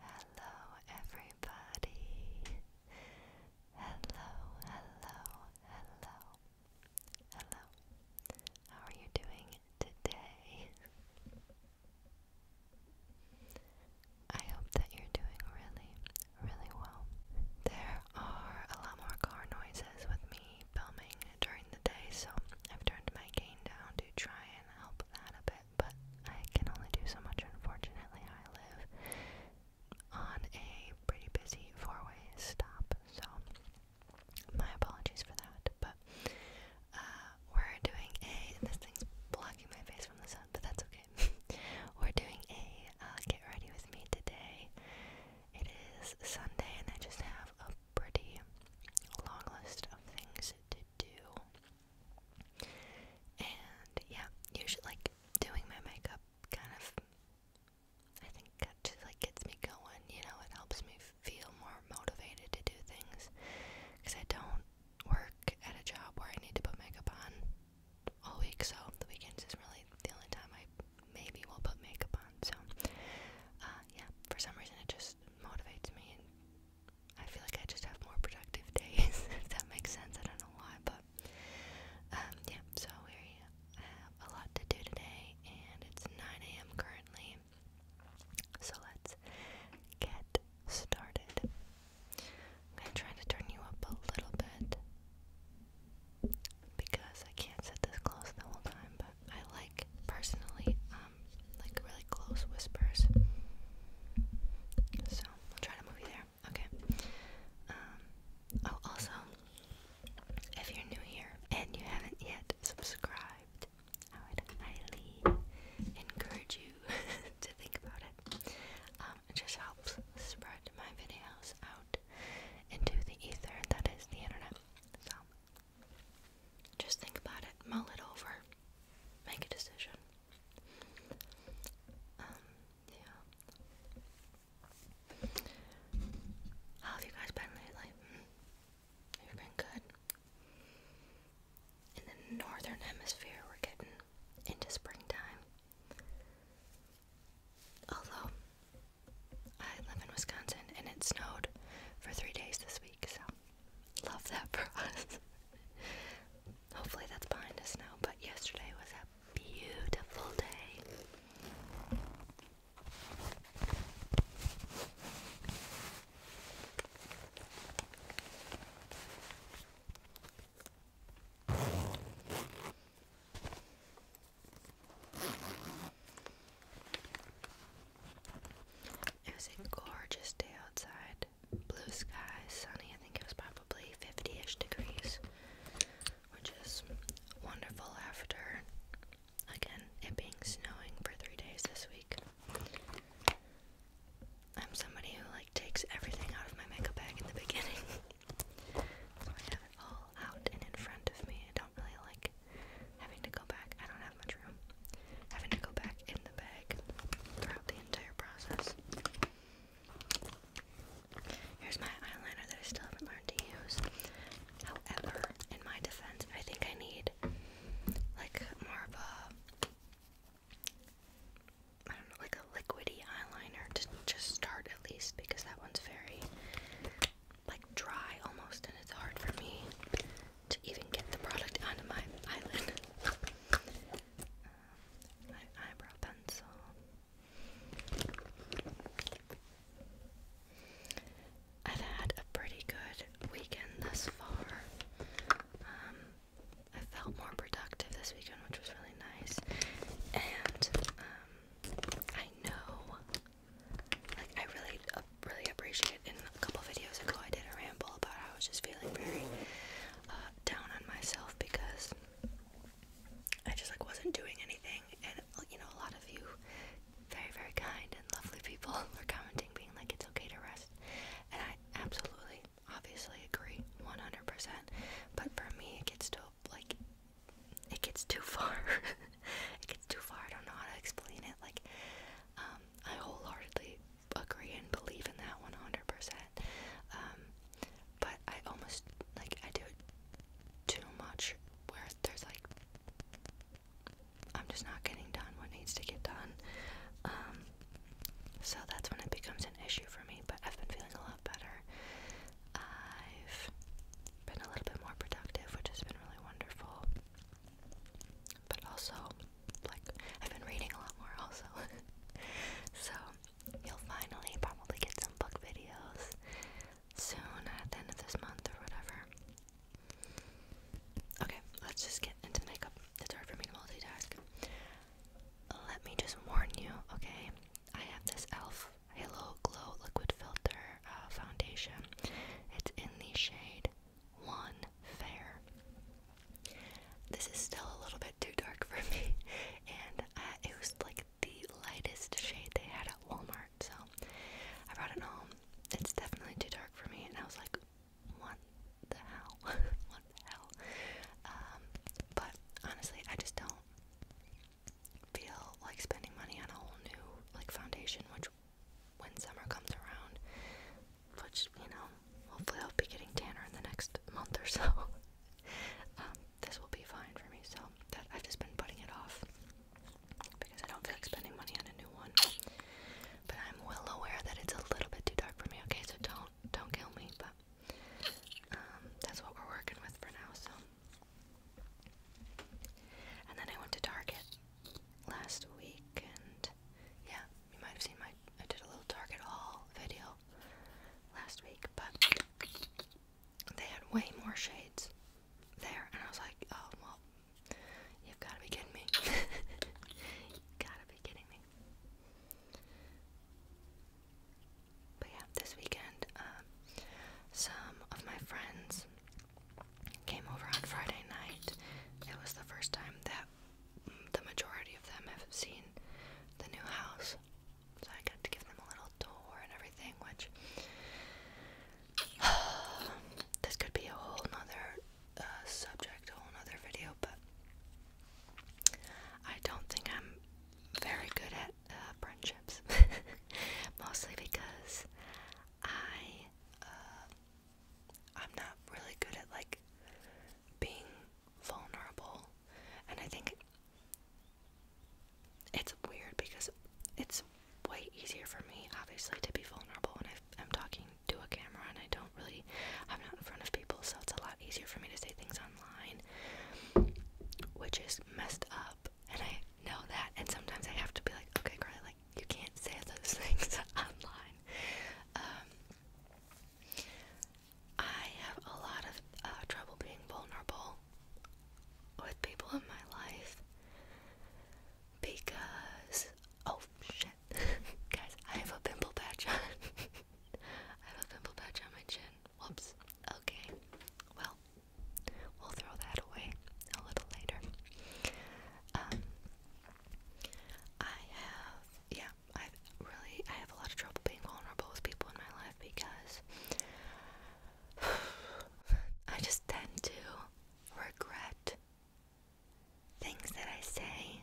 Hello, everybody. Hello, hello, hello, hello. How are you doing today? I hope that you're doing really, really well. There are a lot more car noises with me filming during the day, so I've turned my gain down to try and help that a bit but I can only do so much. Unfortunately, I live on a pretty busy four-way stop, so my apologies for that. But uh, we're doing a this thing's blocking my face from the sun, but that's okay. we're doing a uh, get ready with me today. It is Sunday, and I just have a pretty long list of things to do. And yeah, usually like doing my makeup kind of I think it like gets me going, you know, it helps me feel more motivated to do things cuz I don't work at a job where I need to put makeup on all week, so the weekends is really the only time I maybe will put makeup on. So uh yeah, for some reason it just motivates me and I feel like I just have more productive days, if that makes sense. I don't know why, but um, yeah, so we have a lot to do today, and it's 9 a.m. currently. So let's get started. I'm trying to turn you up a little bit because I can't set this close the whole time, but I like, personally, um, like really close whispers. So we'll try to move you there. Okay. Um, oh, also, if you're new here and you haven't yet subscribed, I would highly encourage you to think about it. Um, it just helps spread my videos out into the ether that is the internet. Just think about it, mull it over, make a decision. Um, yeah. How have you guys been lately? Mm, you've been good. In the northern hemisphere, we're getting into springtime. Although, I live in Wisconsin and it snowed for three days this week, so Love that for Hopefully that's behind us now, but yesterday was a beautiful day. It was a gorgeous day outside blue skies, sunny. I think it was probably 50 ish degrees, which is wonderful after, again, it being snowing for three days this week. I'm somebody who like takes everything out of my makeup bag in the beginning. so I have it all out and in front of me. I don't really like having to go back. I don't have much room. Having to go back and throughout the entire process. Here's my eyeliner that I still haven't learned to use. However, in my defense, I think I need like more of a I don't know, like a liquidy eyeliner to just start at least because that one's very like dry almost and it's hard for me to even get the product onto my eyelid. my eyebrow pencil. I've had a pretty good weekend thus far. Um, I felt more productive this weekend, which was really nice. And um, I know, like, I really really appreciate. In a couple videos ago, I did a ramble about how I was just feeling very uh, down on myself because I just like wasn't doing anything, and you know, a lot of you, very very kind and lovely people, were commenting, being like, "It's okay to rest," and I absolutely, obviously agree, one hundred percent. But for me, it gets to like, it gets too far. it gets too far. I don't know how to explain it. Like, um, I wholeheartedly agree and believe in that 100%. Um, but I almost, like, I do it too much where there's, like, I'm just not getting done what needs to get done. Um, so that's when it becomes an issue for me, but I've been feeling a lot better. I've been a little bit more productive, which has been really wonderful but also like I've been reading a lot more also so you'll finally probably get some book videos soon at the end of this month or whatever okay let's just get into makeup it's hard for me to multitask let me just warn you okay I have this elf halo glow liquid filter uh, foundation it's in the shade lawn fair. This is still a little bit too dark for me, and it was like the lightest shade they had at Walmart, so I brought it home. It's definitely too dark for me, and I was like, what the hell? what the hell? Um, but honestly, I just don't feel like spending money on a whole new like foundation, which when summer comes around, which, you know, hopefully I'll be getting tanner in the next month or so. Um, this will be fine for me, so that I've just been putting it off because I don't feel like spending money on a new one. But I'm well aware that it's a little bit too dark for me, okay? So don't don't kill me, but um, that's what we're working with for now, so and then I went to Target last week, and yeah, you might have seen my I did a little Target haul video last week, but they had way more shades there, and I was like, oh well, you've got to be kidding me. got to be kidding me. But yeah, this weekend, um, some of my friends came over on Friday night. It was the first time that the majority of them have seen the new house. So I got to give them a little tour and everything, which this could be a whole nother uh, subject, a whole nother video, but I don't think I'm very good at uh, friendships. Mostly because I uh, I'm not really good at like being vulnerable, and I think it's weird because it's way easier for me, obviously, to be vulnerable when I'm talking to a camera and I don't really, I'm not in front of people, so it's a lot easier for me to say things online, which is messed up, and I know that. And sometimes I have to be like, okay, like you can't say those things online. Um, I have a lot of uh, trouble being vulnerable with people in my life because oh shit, guys, I have a pimple patch on. I have a pimple patch on my chin. Whoops. Okay. Well, we'll throw that away a little later. Um, I have, yeah, I really, I have a lot of trouble being vulnerable with people in my life because I just tend to regret things that I say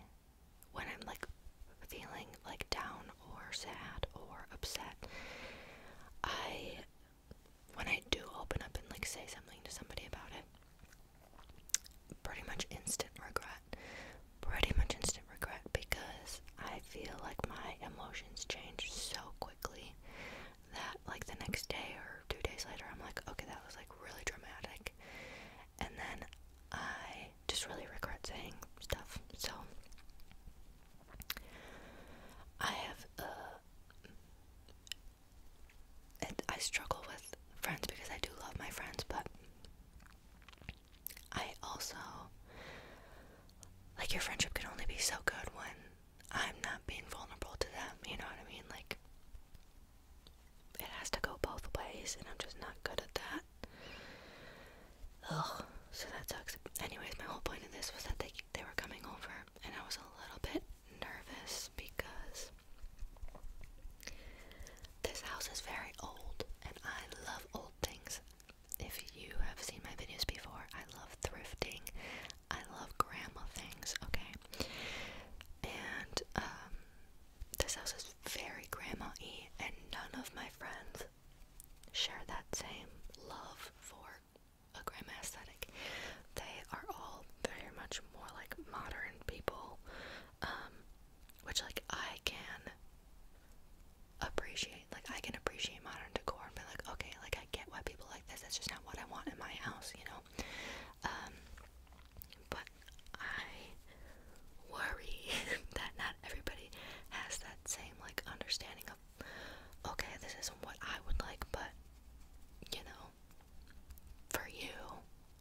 when I'm like feeling like down or sad or upset. I, when I do open up and like say something to somebody about it, pretty much instant regret. Pretty much instant regret because I feel like my emotions change so quickly that, like, the next day or two days later, I'm like, okay, that was like really dramatic. And then I just really regret saying stuff. So I have, uh, it, I struggle with friends because I do love my friends, but I also like your friendship can only be so good when I'm not being vulnerable to them, you know what I mean? Like it has to go both ways and I'm just not good at that. Ugh, so that sucks. Anyways, my whole point in this was that they they were coming over and I was a little bit nervous because this house is very old and I love old things. If you have seen my videos before, I love thrifting. I love grandma things, okay? And um, this house is very grandma and none of my friends share that same love for a grandma aesthetic they are all very much more like modern people, um, which like I can appreciate. Like I can appreciate modern decor and like, okay, like I get why people like this. That's just not what I want in my house, you know. Um, but I worry that not everybody has that same like understanding of okay, this isn't what I would like, but you know, for you.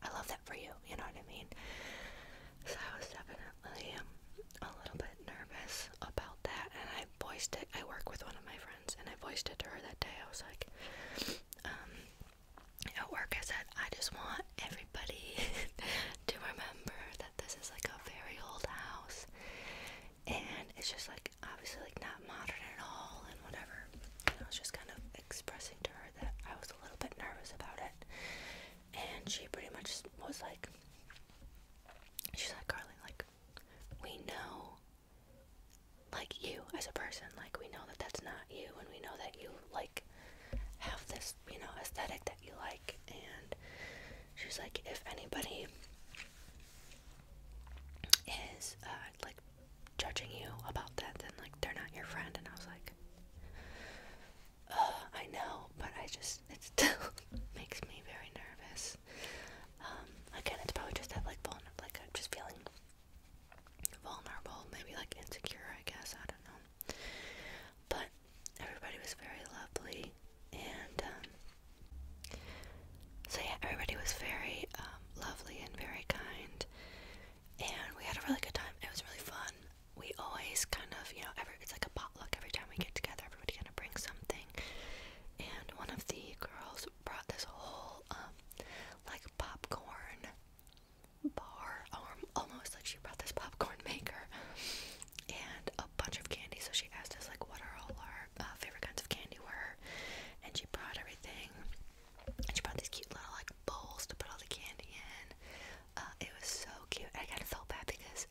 I love that for you, you know what I mean? So I was definitely um, a little bit nervous about that and I voiced it. I work with one of my friends and I voiced it to her that day. I was like, um, at work I said, I just want everybody to remember that this is like a very old house and it's just like obviously like not modern at all and whatever. And I was just kind of expressing to her that I was a little bit nervous about it. And she pretty much was like she's like, Carly, like we know like you as a person, like we know that that's not you and we know that you like have this, you know, aesthetic that you like and she's like if anybody is uh, like judging you about that, then like they're not your friend. And I was like, I know, but I just it still makes me very nervous. Um, again, it's probably just that like vulnerable, like just feeling vulnerable, maybe like insecure. I guess I don't know. But everybody was very lovely, and um, so, yeah, everybody was very um, lovely and very kind, and we had a really good time. It was really fun. We always kind of, you know, every, it's like a potluck every time we get together, everybody kind of brings something. And one of the girls brought this whole, um, like, popcorn bar, almost like she brought this popcorn maker and a bunch of candy. So she asked us, like, what are all our uh, favorite kinds of candy were, and she brought everything. And she brought these cute little like bowls to put all the candy in. Uh, it was so cute. I kind of felt bad because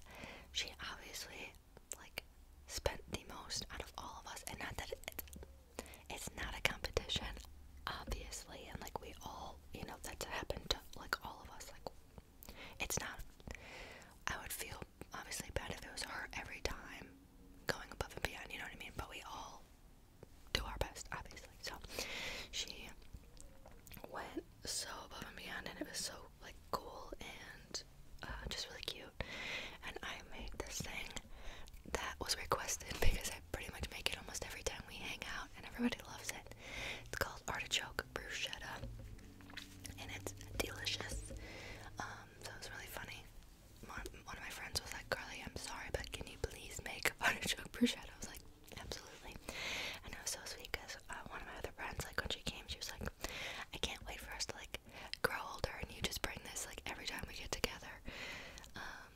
she obviously like spent the most out of all of us, and not that it's not a competition, obviously. And like we all, you know, that's happened to like all of us. Like it's not. I would feel obviously bad if it was her every time, going above and beyond, you know what I mean? But we all do our best, obviously. So she went so above and beyond, and it was so like cool and uh, just really cute. And I made this thing that was requested because I pretty much make it almost every time we hang out, and everybody loves it. It's called artichoke bruschetta, and it's delicious. Um, so it was really funny one of my friends was like, Carly, I'm sorry, but can you please make artichoke bruschetta? I was like, absolutely. And it was so sweet because uh, one of my other friends, like when she came, she was like, I can't wait for us to like grow older and you just bring this like every time we get together. Um,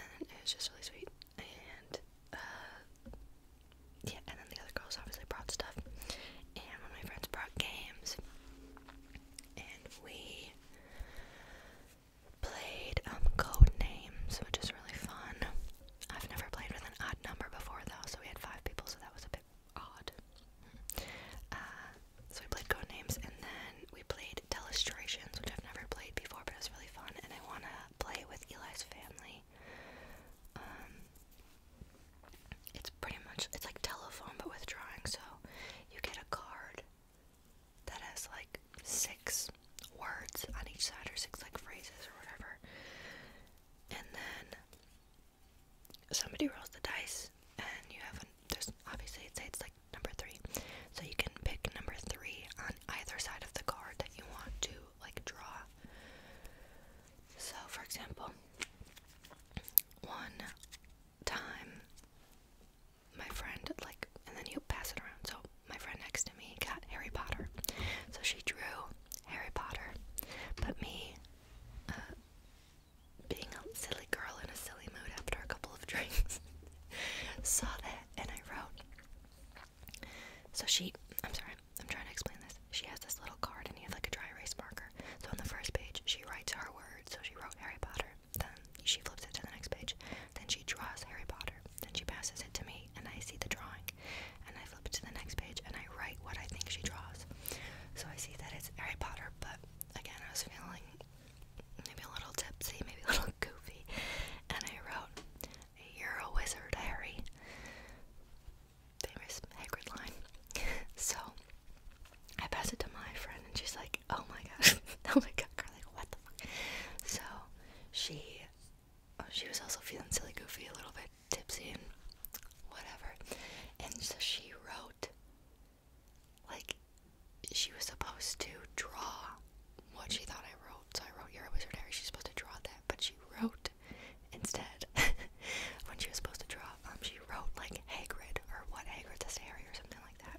and it was just really sweet. And uh, yeah, and then the other girls obviously brought stuff. And one of my friends brought games and we played um, code names, which is really fun. I've never played with an odd number before though, so we had five people, so that was a bit odd. Uh, so we played code names, and then we played illustrations, which I've never played before, but it was really fun, and I want to play with Eli's family. Um, it's pretty much it's like telephone but with drawing, so you get a card that has like six words on each side or six like phrases or whatever. And then somebody rolls the dice and you have an, there's obviously it says like number three. So you can pick number three on either side of the card that you want to like draw. So for example, one time, my friend, like, and then he'll pass it around. So, my friend next to me got Harry Potter. So, she drew Harry Potter, but me, uh, being a silly girl in a silly mood after a couple of drinks, saw that and I wrote. So, she, I'm sorry, I'm trying to explain this. She has this little card and you have like a dry erase marker. So, on the first page, she writes her word. So, she wrote Harry Potter. Then she flips it to the next page. Then she draws Harry Potter. Then she passes it to me, and I see the drawing. And I flip it to the next page, and I write what I think she draws. So I see that it's Harry Potter, but again, I was feeling maybe a little tipsy, maybe a little goofy, and I wrote, You're a wizard, Harry. Famous Hagrid line. so I pass it to my friend, and she's like, "Oh my god, oh my god, girl, like what the fuck?" So she, oh, she was also feeling silly, goofy, a little bit tipsy, and whatever. And so she wrote, like, she was supposed to draw what she thought I wrote. So I wrote "You're a Wizard Harry." She's supposed to draw that, but she wrote instead when she was supposed to draw. Um, wrote like Hagrid or what Hagrid's a Harry or something like that.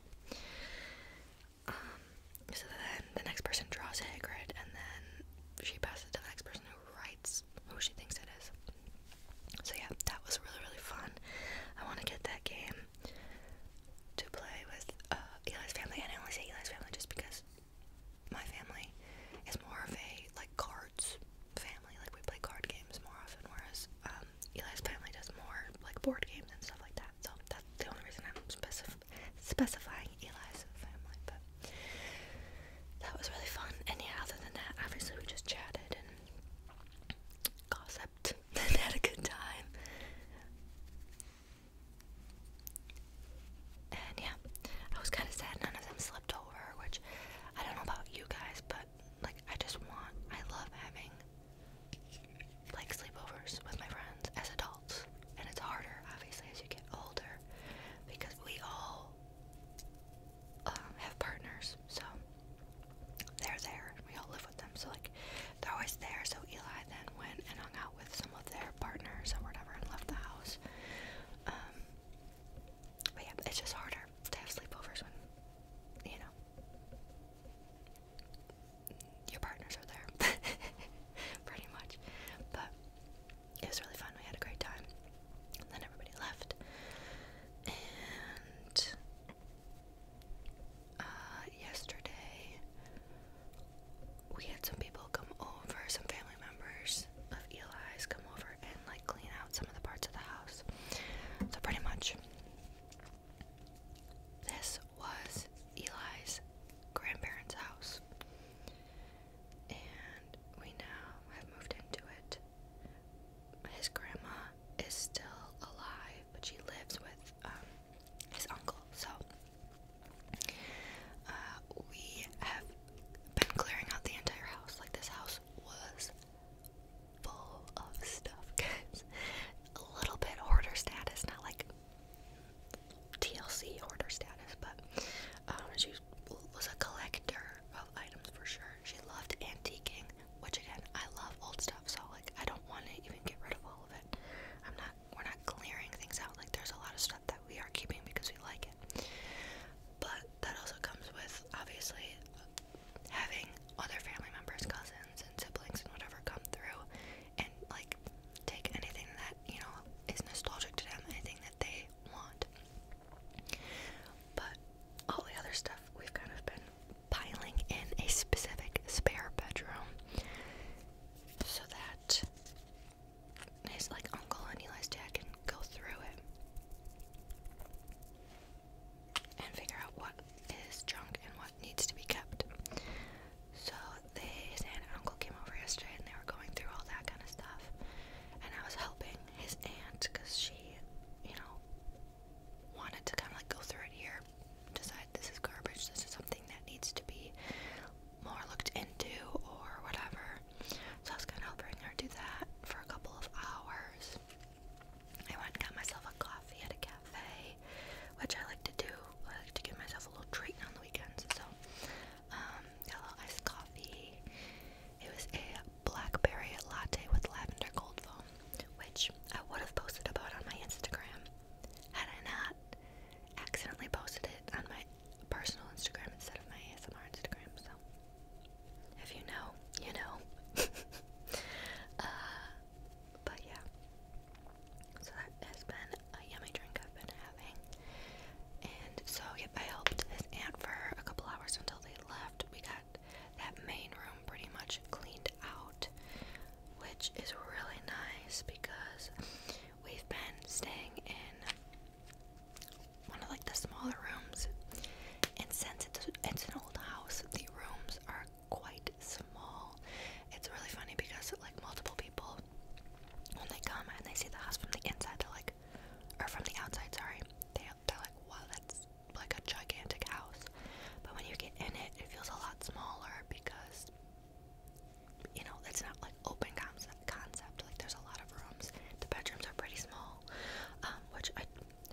Um, so then the next person draws Hagrid, and then she passes it to the next person who writes who she thinks it is. So yeah, that was really really fun. I want to get that game to play with uh, family, and I only say Eli's family just because my family is more of a like cards family like we play card games more often, whereas um, Eli's family does more like board games and stuff like that. So that's the only reason I'm specifying Eli's family. But that was really fun. And yeah, other than that, obviously we just chatted and gossiped and had a good time. And yeah, I was kind of sad none of them slept over, which I don't know about you guys, but like I just want I love having like sleepovers with my friends as adults. And it's harder obviously as you get older because we all um, have partners, so they're there we all live with them. So like they're always there. So Eli then went and hung out with some of their partners or whatever and left the house. Um, but yeah, it's just harder to have sleepovers when, you know, your partners are there. Pretty much. But it was really fun. We had a great time. then everybody left. And uh, yesterday, we had some people come over, some family members of Eli's come over and like clean out so, pretty much, this was Eli's grandparents' house. And we now have moved into it. His grandma is still alive, but she lives with um, his uncle. So, uh, we have been clearing out the entire house. Like, this house was full of stuff, guys. A little bit hoarder status, not like TLC hoarder status, but um, she was a collector of items for sure. She loved antiquing, which again, I love old stuff, so like I don't want to even get rid of all of it. I'm not. We're not clearing things out. Like there's a lot of stuff that we are keeping because we like it but that also comes with obviously having other family members, cousins, and siblings, and whatever come through and like take anything that you know is nostalgic to them, anything that they want. But all the other stuff we've kind of been piling in a specific spare bedroom so that his like uncle and Eli's dad can go through it and figure out what is junk and what needs to be kept. So they, his aunt and uncle came over yesterday and they were going through all that kind of stuff. And I was helping his aunt because she, you know, wanted to kind of like go through it here, decide this is garbage, this is something that needs to be more looked into or whatever. So I was kind of helping her do that for a couple of hours. I went and got myself a coffee at a cafe, which I like to do. I like to give myself a little treat on the weekends. So, um, iced coffee. It was a blackberry latte with lavender gold foam, which I would have posted about on my Instagram had I not accidentally posted it on my personal Instagram instead of my ASMR Instagram. So, if you know, you know. Uh, but yeah. So that has been a yummy drink I've been having. And so, yep, I helped his aunt for a couple hours until they left. We got that main room pretty much cleaned out, which is really nice because we've been staying in one of like the smaller rooms. And since it's, it's an old house, the rooms are quite small. It's really funny because like multiple people, when they come and they see the house from the inside, they're like, or from the outside, sorry, they, they're like, wow, that's like a gigantic house. But when you get in it, it feels a lot smaller because you know it's not like open concept. Concept like there's a lot of rooms. The bedrooms are pretty small, um, which I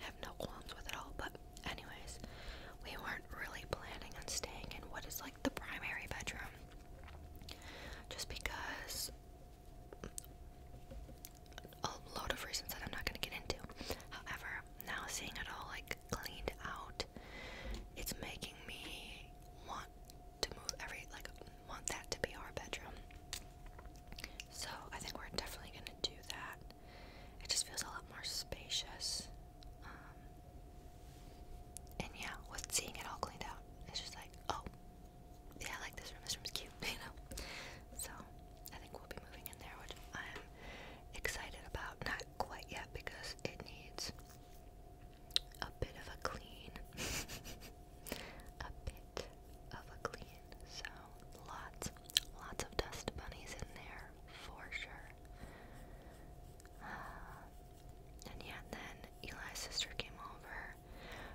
have no qualms with it all. But, anyways, we weren't really planning on staying in what is like the primary bedroom. Just because a load of reasons that I'm not going to get into. However, now seeing it all like cleaned out, it's making me want to move every, like, want that to be our bedroom. So I think we're definitely gonna do that. It just feels a lot more spacious. Um, and yeah, with seeing it all cleaned out, it's just like, oh, yeah, I like this room. This room's cute, you know? So I think we'll be moving in there, which I'm excited about. Not quite yet because it needs a bit of a clean. a bit of a clean. So lots, lots of dust bunnies in there for sure. Uh, and yeah, then Eli's sister came over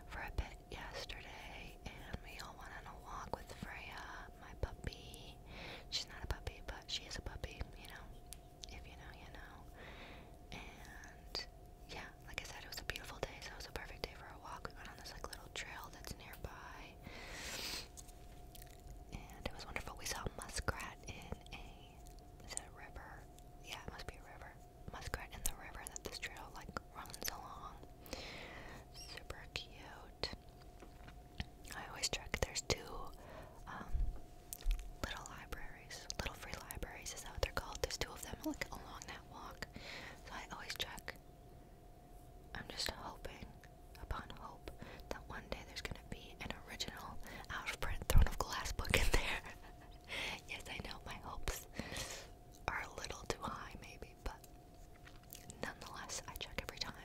for a bit yesterday, and we all went on a walk with Freya, my puppy. She's not a puppy, but she is a puppy, you know. If you know, you know. And yeah, like I said, it was a beautiful day, so it was a perfect day for a walk. We went on this like little trail that's nearby, and it was wonderful. We saw muskrat in a is it a river? Yeah, it must be a river. Muskrat in the river that this trail like runs along. Super cute. I always check. There's two um, little libraries, little free libraries is that what they're called. There's two of them like along that walk, so I always check I'm just hoping upon hope that one day there's gonna be an original out of print Throne of Glass book in there. yes, I know my hopes are a little too high, maybe, but nonetheless, I check every time.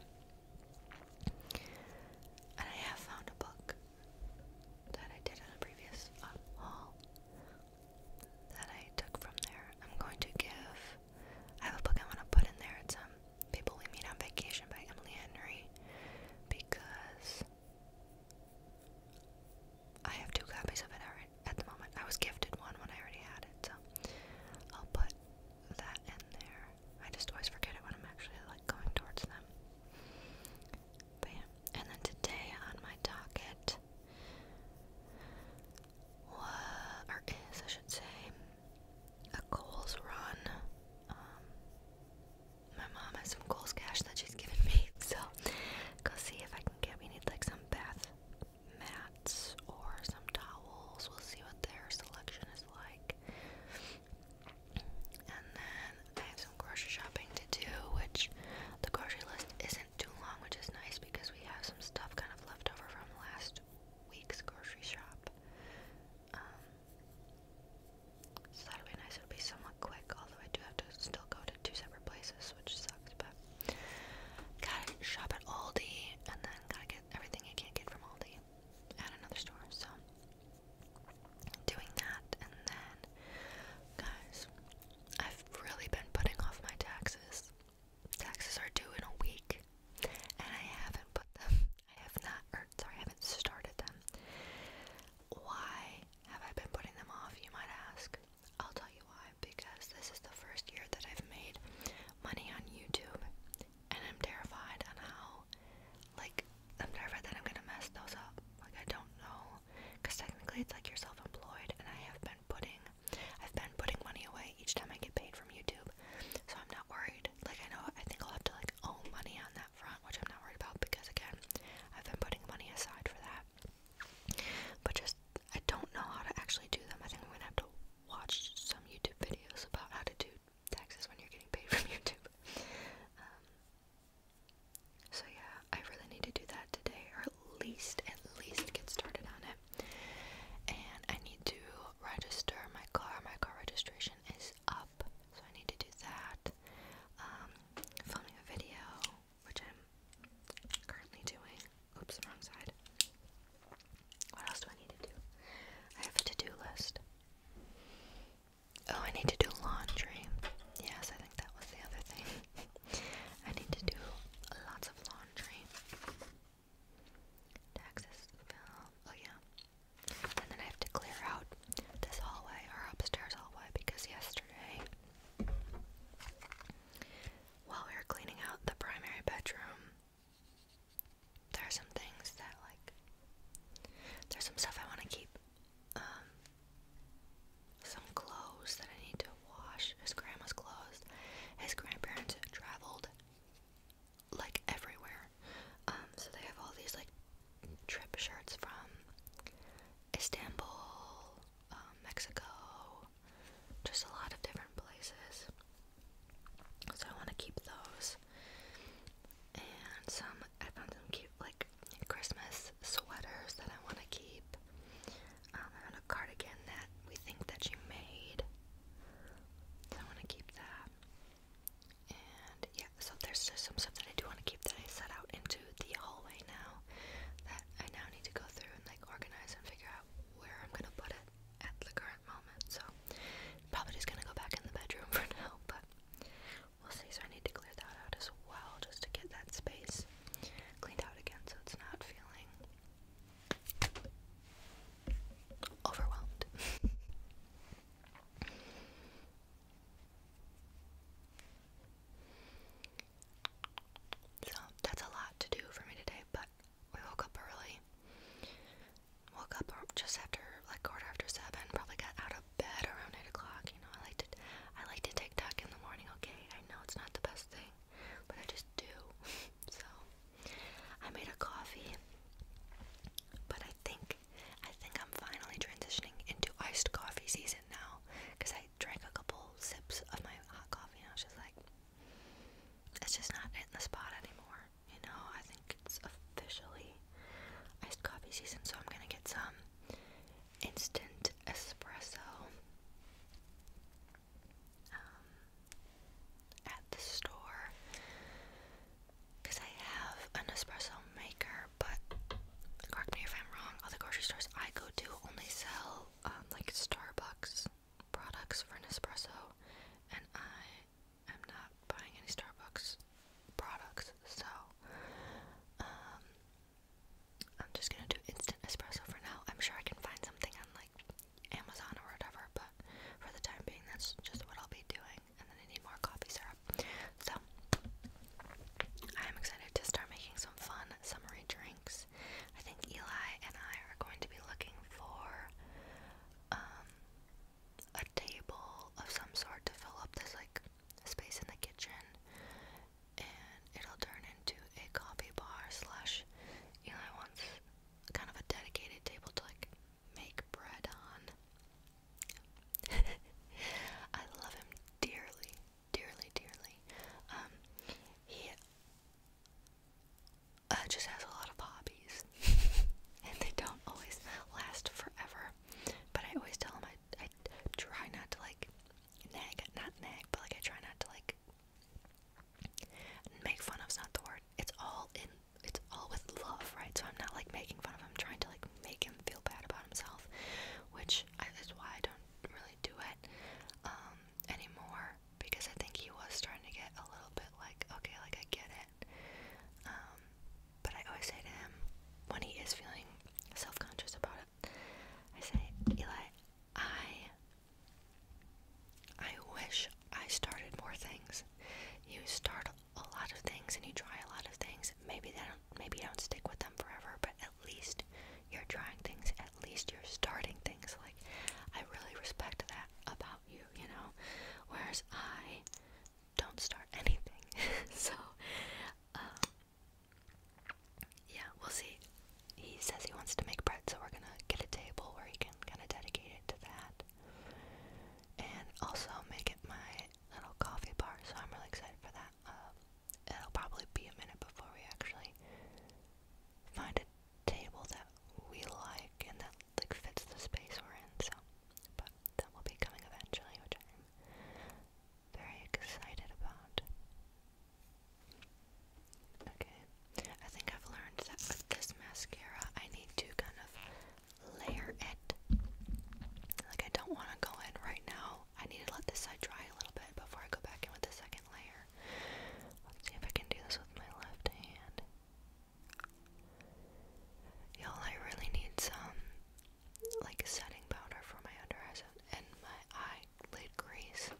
And I have found a book that I did in a previous haul that I took from there. I'm going to give. I have a book I want to put in there. It's um, People We Meet on Vacation by Emily Henry because I have two copies of it already at the moment. I was gifted one when I already had it, so I'll put that in there. I just always forget it when I'm actually like going towards them. But yeah, and then today on my docket, what, or is, I should say, a Kohl's run. Um, my mom has some Kohl's cash that she's given me, so go see if I can get. We need like some bath mats or some towels. We'll see what their selection is like. And then I have some grocery shopping to do, which the grocery list isn't too long, which is nice because we have some stuff kind of left over from last week's grocery shop. Um, so that'll be nice. It'll be somewhat quick, although I do have to still go to two separate places, which sucks. But gotta shop at Aldi, and then gotta get everything I can't get from Aldi at another store. So doing that, and then guys, I've really been putting off my taxes taxes are due in a week, and I haven't put them. I have not, or sorry, I haven't started them. Why have I been putting them off? You might ask. I'll tell you why. Because this is the first year that I've made money on YouTube, and I'm terrified of how, like, I'm terrified that I'm gonna mess those up. Like, I don't know, because technically it's like you're self-employed, and I have been putting I've been putting money away each time I get paid from YouTube, so I'm not worried. Like, I know I think I'll have to like owe money on that front, which I'm not worried about because again, I've been putting money aside for that. But just I don't know how to actually do them. I think I'm gonna have to watch some YouTube videos about how to do taxes when you're getting paid from YouTube. Um, so yeah, I really need to do that today, least, at least get started on it. And I need to register my car. My car registration is up, so I need to do that. Um, filming a video, which I'm currently doing. Oops, wrong side. What else do I need to do? I have a to-do list. Oh, I need to do laundry. Yes, I think that was the other thing. I need to do lots of laundry. Taxes, bill, oh yeah. And then I have to clear out this hallway or upstairs hallway because yesterday, while we were cleaning out the primary bedroom, there are some things that like, there's some stuff I want to keep. Um, some clothes that I need to wash. His grandma's clothes. His grandparents traveled like everywhere. Um, so they have all these like trip shirts from Istanbul, um, Mexico, just a lot of different places. So I want to keep those. And some, I found some cute like Christmas sweaters that I want to keep. Um, and a cardigan that we think that you made. I want to keep that. And yeah, so there's just some stuff that I do want to keep that I set out into the hallway now that I now need to go through and like organize and figure out where I'm gonna put it at the current moment. So probably just gonna go back in the bedroom for now, but we'll see. So I need to clear that out as well just to get that space cleaned out again, so it's not feeling overwhelmed. so that's a lot to do for me today, but we woke up early. Woke up just after like quarter after seven. Probably got out of bed around eight o'clock. You know, I like to I like to TikTok in the morning. Okay, I know it's not the best thing but I just do. so I made a coffee, but I think I think I'm finally transitioning into iced coffee season now because I drank a couple sips of my hot coffee and I was just like, it's just not in the spot anymore. You know, I think it's officially iced coffee season, so I'm gonna get some instant espresso um, at the store because I have an espresso maker, but correct me if I'm wrong, all the grocery stores I go to only sell um, like Starbucks products for Nespresso, and I am not buying any Starbucks products, so um, I'm just gonna do instant espresso for now. I'm sure I can find something on like Amazon or whatever, but for the time being, that's just what I'll be doing. And then I need more coffee syrup. So I'm excited to start making some fun summery drinks. I think Eli and I are going to be looking for um, a table of some sort to fill up this like space in the kitchen and it'll turn into a coffee bar slash Eli wants kind of a dedicated table to like make bread on. I love him dearly, dearly, dearly. Um, he uh, just has a lot of hobbies, and they don't always last forever. But I always tell him I I try not to like nag, not nag, but like I try not to like make fun of's not the word. It's all in, it's all with love, right? So I'm not like making fun of him, I'm trying to like make him feel bad about himself, which I, is why I don't really do it um, anymore because I think he was starting to get a little bit like, okay, like I get it. Um, but I always say to him when he is feeling self conscious about it. I say, Eli, I I wish I started more things. You start a lot of things and you try a lot of things. Maybe they don't maybe you don't stick with them forever, but at least you're trying things, at least you're starting things. Like I really respect that about you, you know. Whereas I don't start anything. so um, yeah, we'll see. He says he wants to make bread, so we're gonna get a table where he can kind of dedicate it to that. And also make it my little coffee bar, so I'm really excited for that. Uh, it'll probably be a minute before we actually find a table that we like and that like fits the space we're in, so but that will be coming eventually, which I'm very excited about. Okay, I think I've learned that with this mascara, I need to kind of layer it. Like, I don't want to go in right now. I need to let this side dry a little bit before I go back in with the second layer. see if I can do this with my left hand. Y'all, I really need some like a setting powder for my under eyes and my eye eyelid crease.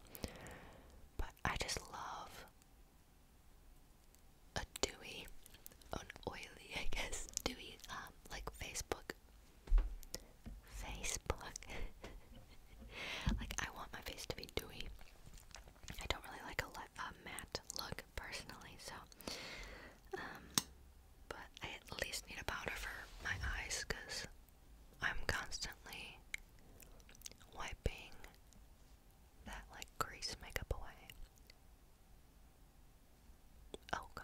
But I just love a dewy, an oily, I guess, dewy, um, like Facebook. Facebook. like I want my face to be dewy. I don't really like a, a matte look personally, so um, but I at least need a powder for my eyes because I'm constantly wiping that like grease makeup away. Oh god.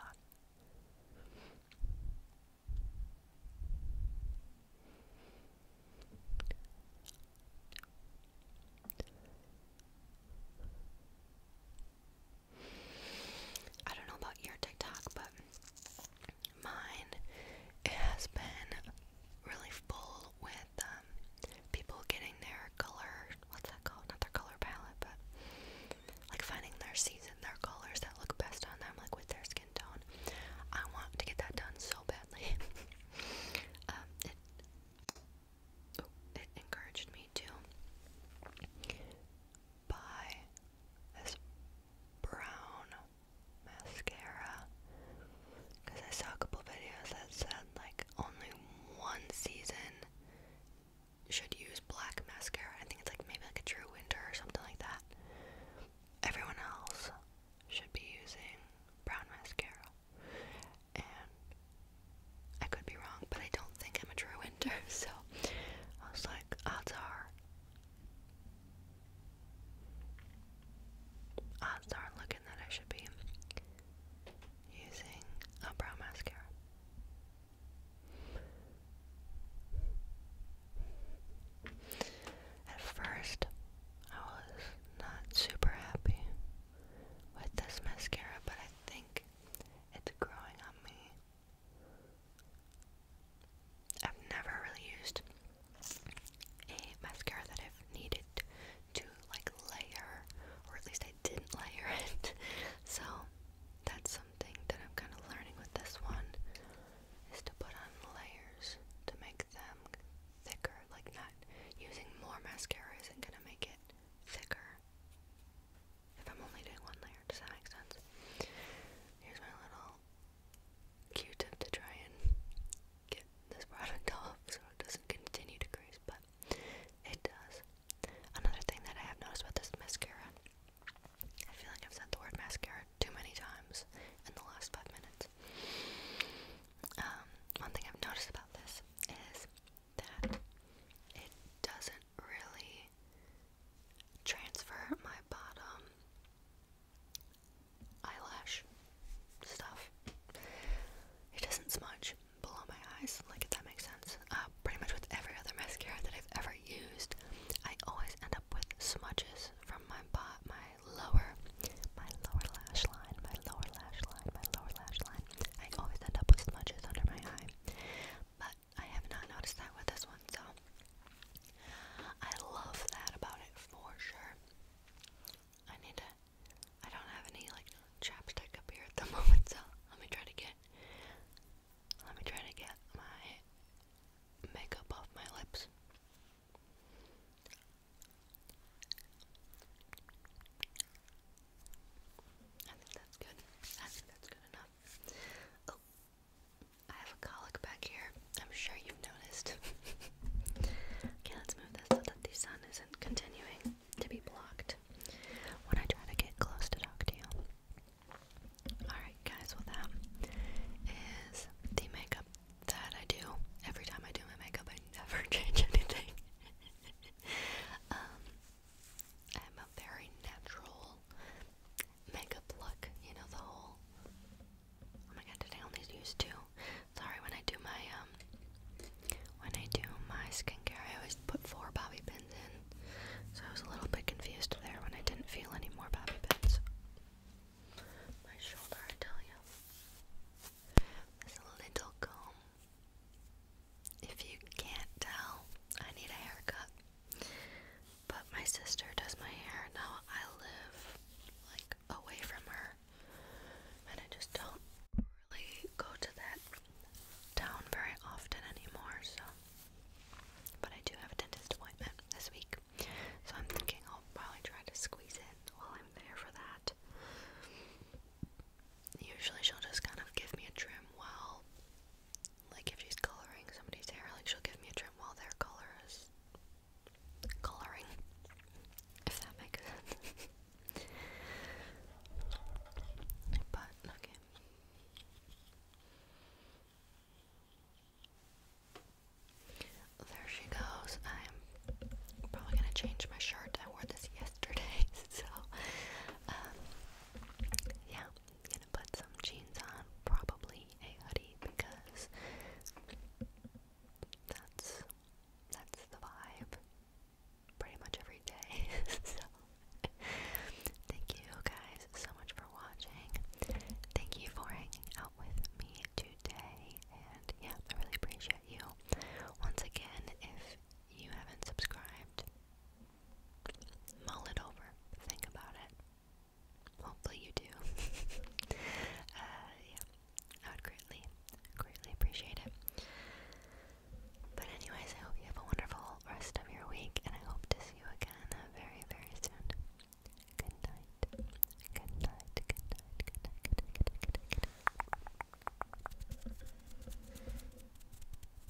I don't know about your TikTok, but mine it has been really full with um, people getting their color. What's that called? Not their color palette, but like finding their season, their colors that look best on them, like with their skin tone. I want to get that done so badly. Um, oh, it encouraged me to buy this brown mascara because I saw a couple videos that said like only one season should use black mascara. I think it's like maybe like a true winter or something like that. Everyone else should be using brown mascara. And I could be wrong, but I don't think I'm a true winter, so I was like, odds are Odds are looking that I should be using a brow mascara. At first, I was not super happy with this mascara, but I think it's growing on me I've never really used a mascara that I've needed to like layer, or at least I didn't layer it. So that's something that I'm kind of learning with this one is to put on layers to make them thicker. Like not using more mascara isn't gonna make it thicker if I'm only doing one layer. Does that make sense? Here's my little Q-tip to try and get this product off so it doesn't continue to crease, but it does. Another thing that I have noticed about this mascara, I feel like I've said the word mascara too many times in the last five minutes. Um, one thing I've noticed about this is that it doesn't really transfer my bottom eyelash stuff. It doesn't smudge below my eyes, like if that makes sense. Uh, pretty much with every other mascara that I've ever used, I always end up with smudges from my bot, my lower, my lower lash line, my lower lash line, my lower lash line. I always end up with smudges under my eye. But I have not noticed that with this one, so I love that about it for sure. I need to. I don't have any like chapstick up here at the moment, so let me try to get. Let me try to get my makeup off my lips. I think that's good. I think that's good enough. Oh, I have a colic back here. I'm sure you've noticed. okay, let's move this so that the sun isn't continuing to be blocked when I try to get close to talk to you. Alright, guys, well, that is the makeup that I do. Every time I do my makeup, I never change anything. Um, I'm a very natural makeup look, you know, the whole. Oh my god, did I only use two? Sorry, when I do my, um, when I do my skincare, I always put four bobby pins in. So I was a little bit confused there when I didn't feel any more bobby pins. My shoulder, I tell you. This little comb. If you can't tell, I need a haircut. But my sister does my hair now. I live like away from her, and I just don't really go to that town very often anymore. So, but I do have a dentist appointment this week, so I'm thinking I'll probably try to squeeze in while I'm there for that. Usually, she'll just kind of give me a trim while like if she's coloring somebody's hair, like she'll give me a trim while their color is coloring. If that makes sense. but okay. There she goes. I'm probably gonna change my shirt. I wore this yesterday, so um, yeah, put some jeans on, probably a hoodie because that's that's the vibe pretty much every day. so thank you guys so much for watching. Thank you for hanging out with me today and yeah, I really appreciate you. Once again, if you haven't subscribed, Mull it over. Think about it. Hopefully you do. Uh, yeah, I would greatly, greatly appreciate it. But anyways, I hope you have a wonderful rest of your week, and I hope to see you again uh, very, very soon. Good night. Good night. Good night. Good night. Good night. Good night. Good night.